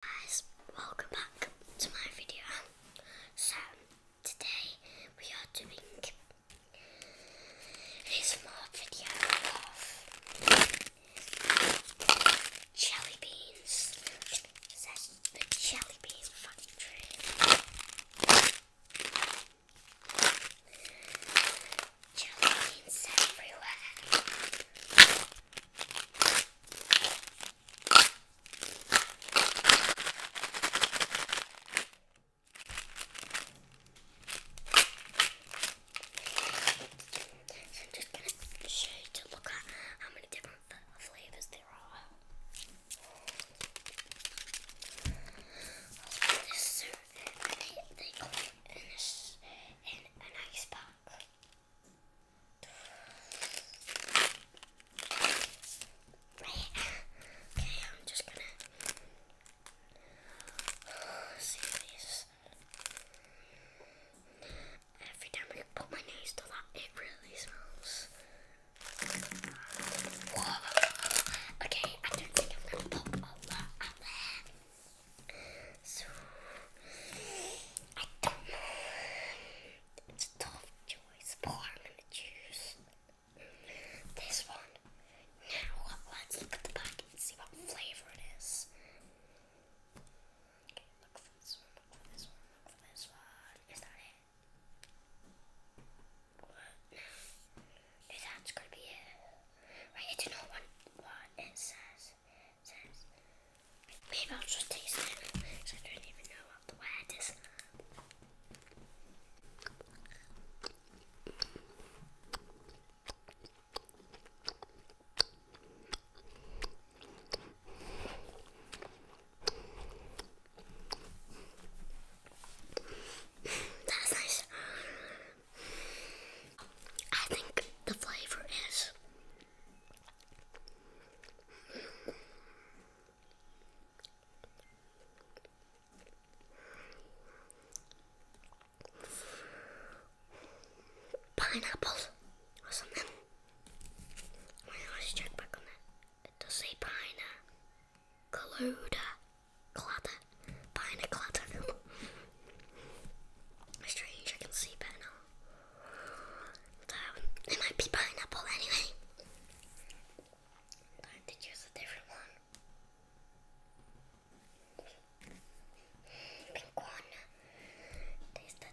guys, welcome back to my video. So, today we are doing this more video of jelly beans. This the jelly bean factory. Jelly beans everywhere. So I'm just going to show you to look at how many different flavours there are. This, they, they call it an, an, an ice pack. Okay, I'm just gonna see this. Every time I put my nose to that, it really smells. Okay, I don't think I'm gonna pop all that out there. So I don't know. It's a tough choice, but I'm gonna choose this one. Now let's look at the back and see what flavor it is. look for this one, look for this one, look for this one. Is that it? What? No. Is that gonna be Right, I do know what, what it says. Maybe I'll just taste it because I don't even know what the word is. That's nice. I think the flavor is pineapple or something. let's check back on that. It does say pina, colluda, clatter, pina clatter. Strange, I can see better now. it might be pineapple anyway. I to choose a different one. Pink one. Taste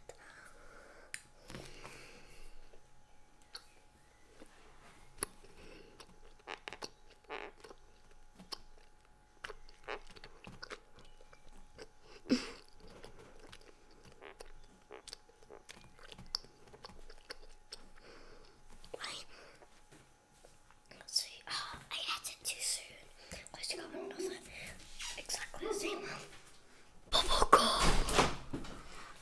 Let's see. Oh, I had too soon. I still got another exactly the same one. Bubblegum!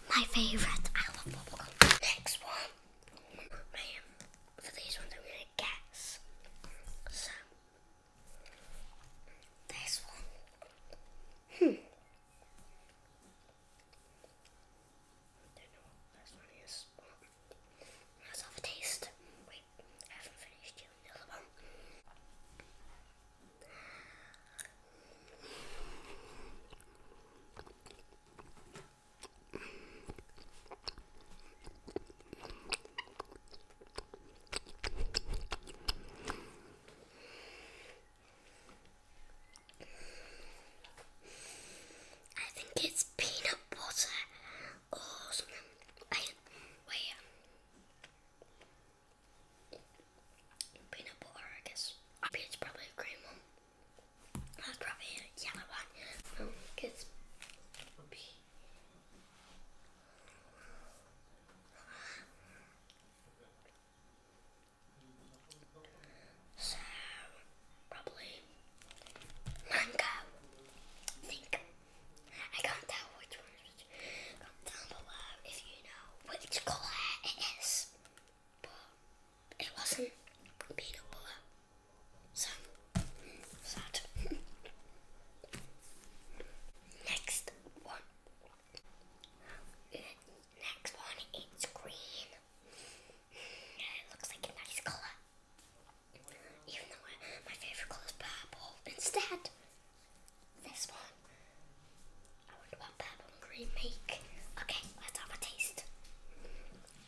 My favourite. I love bubblegum. Next one. My, these ones, I'm it So, this one. Hmm. Don't know what this one is. Let's have a taste. Wait, I haven't finished doing the other one. I think it's peanut butter or something. Peanut butter, I guess. I mean, it's probably cream that's probably a yellow one. Because um, probably mango. think I can't tell which one. Comment down below if you know which colour it is. But it wasn't peanut some sort. next one. Next one is green. It looks like a nice color. Even though my favorite color is purple. Instead, this one. I wonder what purple and green make. Okay, let's have a taste.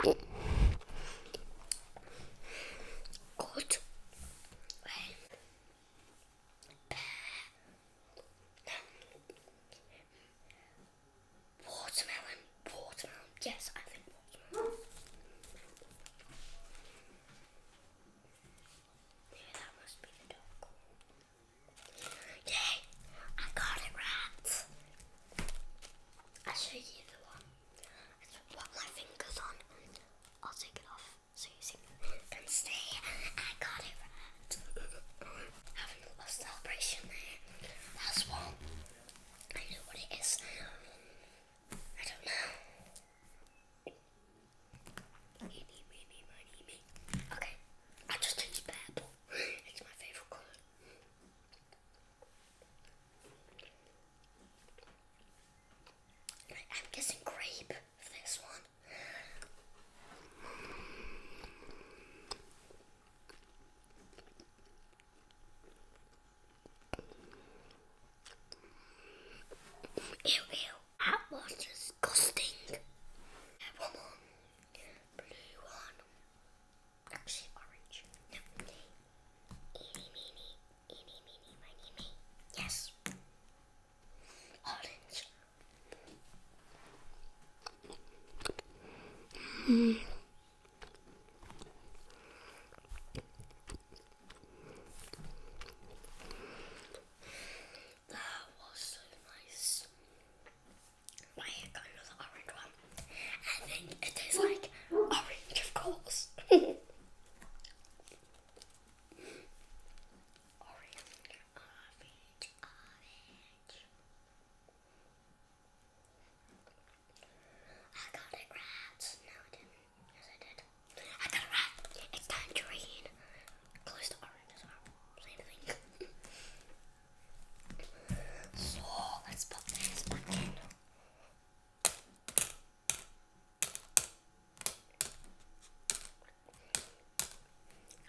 Gut. Watermelon, watermelon. Yes, I think watermelon. Maybe that must be the dog. Yay! I got it right. i show you the one. What my fingers on, I'll take it off so you can see. I got it right. Having a little celebration That's one. I know what it is. I don't know. Okay. I just think purple. It's my favourite colour. I'm guessing grape for this one. Ew, ew, that was disgusting. One blue one actually orange. Eeny, meeny, eeny, meeny, miny, me. Yes. Orange. Hmm. That was so nice my got into orange one. I think it tastes like orange, of course. orange, orange, orange. I got it right. No, I didn't. Yes, I did. I got it right. It's tangerine. Close to orange as well. So, let's put this back in.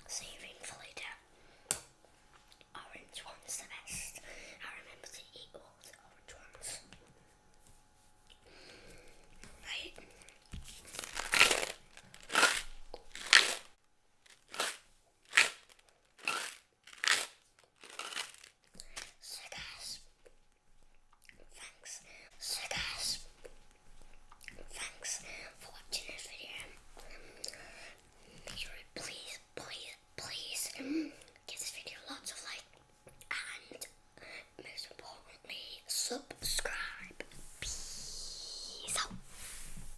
Saving for later. Orange one's the best. I remember to eat all the orange ones. Right. So guys, thanks. So guys, thanks for watching this video. please, please, please give this video lots of like and most importantly subscribe. Peace out.